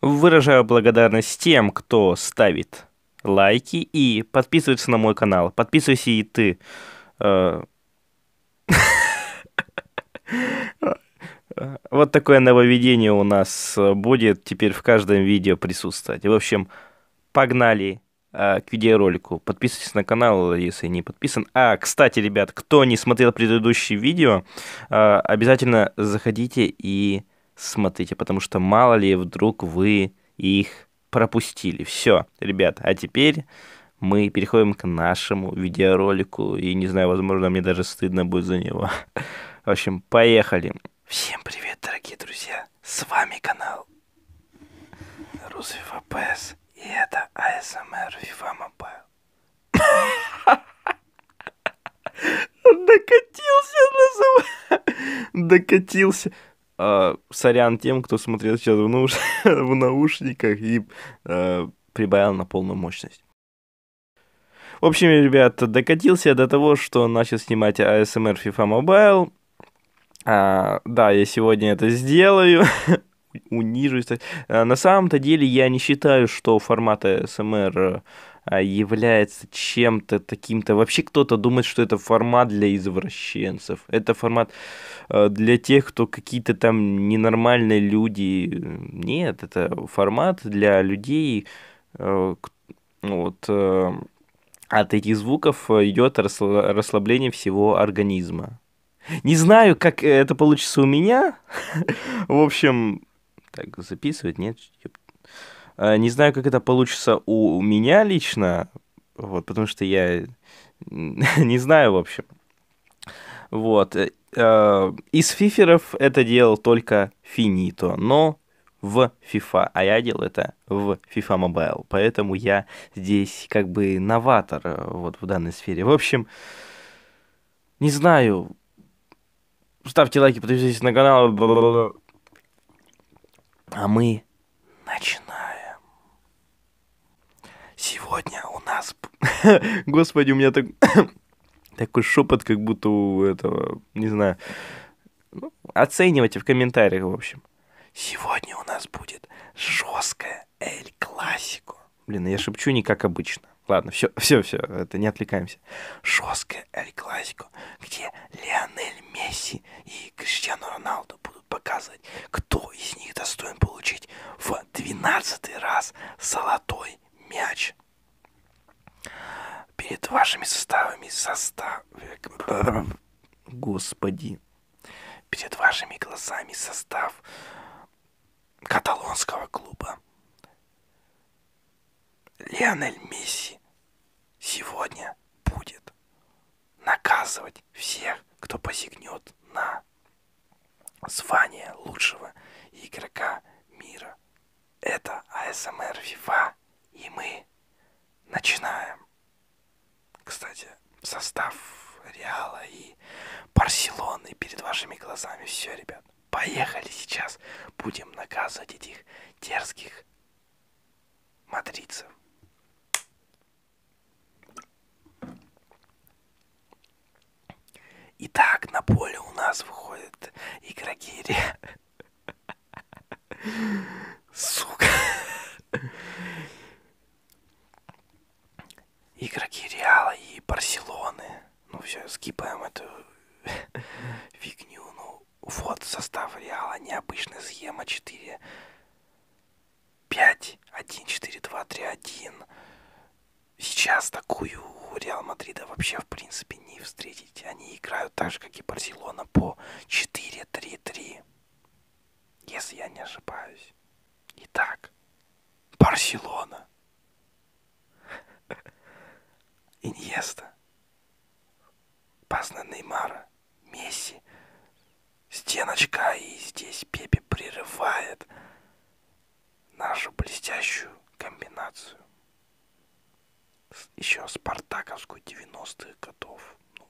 Выражаю благодарность тем, кто ставит лайки и подписывается на мой канал. Подписывайся и ты. Э, вот такое нововведение у нас будет теперь в каждом видео присутствовать. В общем, погнали э, к видеоролику. Подписывайтесь на канал, если не подписан. А, кстати, ребят, кто не смотрел предыдущие видео, поэтому э, обязательно заходите и смотрите, потому что мало ли вдруг вы их пропустили. Все, ребят, а теперь мы переходим к нашему видеоролику, и не знаю, возможно, мне даже стыдно будет за него. В общем, поехали. Всем привет, дорогие друзья, с вами канал Рузвива ПС, и это ASMR Viva Mobile. Докатился, называю. Докатился. А, сорян тем, кто смотрел сейчас в, науш... в наушниках и а, прибавил на полную мощность. В общем, ребят, докатился я до того, что начал снимать ASMR FIFA Mobile. А, да, я сегодня это сделаю. унижусь. Э, на самом-то деле я не считаю, что формат СМР э, является чем-то таким-то. Вообще кто-то думает, что это формат для извращенцев. Это формат э, для тех, кто какие-то там ненормальные люди. Нет, это формат для людей, ну вот, от этих звуков идет расслабление всего организма. Э, а, не знаю, как это получится у меня. В общем, так, записывать, нет? Не знаю, как это получится у меня лично, вот, потому что я не знаю, в общем. Вот. Э, а, из фиферов это делал только Финито, но в FIFA, а я делал это место в FIFA Mobile, поэтому я здесь как бы новатор э, вот в данной сфере. В общем, не знаю, ставьте лайки, подписывайтесь на канал, а мы начинаем. Сегодня у нас... Господи, у меня так... такой шепот, как будто у этого, не знаю. Ну, оценивайте в комментариях, в общем. Сегодня у нас будет жесткая Эль Классико. Блин, я шепчу не как обычно. Ладно, все, все, все, это не отвлекаемся. Жесткая Эль Классико, где Лионель Месси и Криштиану Роналду будут показывать, кто из них достоин получить в 12 раз золотой мяч. Перед вашими составами состав... Господи, перед вашими глазами состав каталонского клуба. Леонель Месси сегодня будет наказывать всех, кто посягнет на звание лучшего игрока мира. Это АСМР Вива, и мы начинаем. Кстати, состав Реала и Барселоны перед вашими глазами. Все, ребят, поехали сейчас. Будем наказывать этих дерзких мадридцев. Итак, на поле у нас выходят игроки Реала. Сука. Игроки Реала и Барселоны. Ну все, скипаем эту фигню. Ну вот состав Реала необычный. Схема 4. 5, 1, 4, 2, 3, 1 сейчас такую у Реал Мадрида вообще в принципе не встретить. Они играют так же, как и Барселона, по 4-3-3. Если я не ошибаюсь. Итак, Барселона. Иньеста. Пас на Неймара. Месси. Стеночка и здесь Пепе прерывает нашу блестящую комбинацию. Еще спартаковскую 90-х годов. Ну,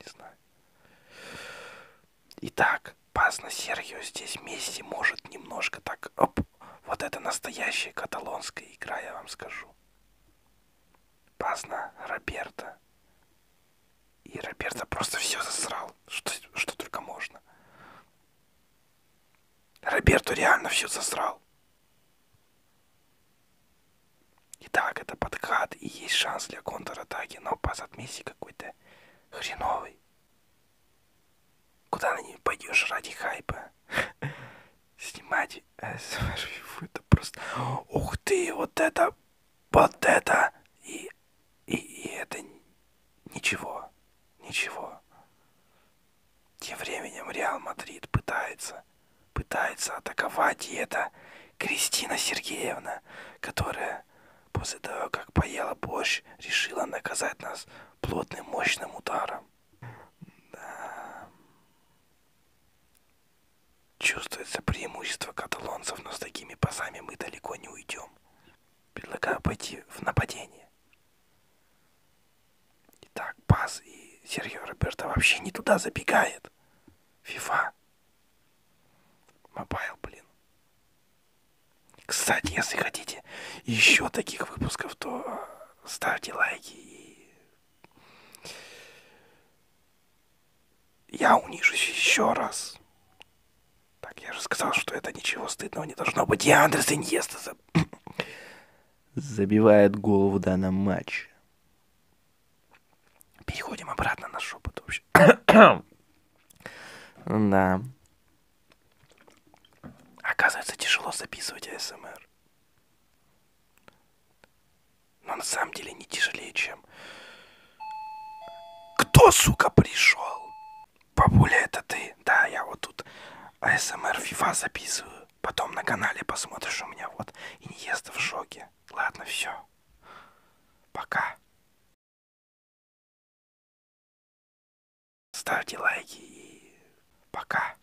не знаю. Итак, пас на Сергио здесь Месси может немножко так... Оп, вот это настоящая каталонская игра, я вам скажу. Пас на Роберта. И Роберта просто все засрал, что, что только можно. Роберту реально все засрал. Итак, это подкат и есть шанс для контратаки, но пас от Месси какой-то хреновый. Куда на ней пойдешь ради хайпа? Снимать это просто... Ух ты, вот это вот это и, и, и это ничего, ничего. Тем временем Реал Мадрид пытается, пытается атаковать, и это Кристина Сергеевна, которая после того, как поела борщ, решила наказать нас плотным мощным ударом. Да. Чувствуется преимущество каталонцев, но с такими пасами мы далеко не уйдем. Предлагаю пойти в нападение. Итак, пас и Сергей Роберто вообще не туда забегает. Фифа. Мобайл, блин. Кстати, если хотите еще таких выпусков, то а, ставьте лайки и я унижусь еще раз. Так, я же сказал, что это ничего стыдного не должно быть. Я Андрес Иньеста за... Забивает голову в данном матче. Переходим обратно на шепот вообще. да. Оказывается, тяжело записывать АСМР. Но на самом деле не тяжелее, чем... Кто, сука, пришел? Бабуля, это ты? Да, я вот тут АСМР FIFA записываю. Потом на канале посмотришь у меня вот. И Иньеста в шоке. Ладно, все. Пока. Ставьте лайки и пока.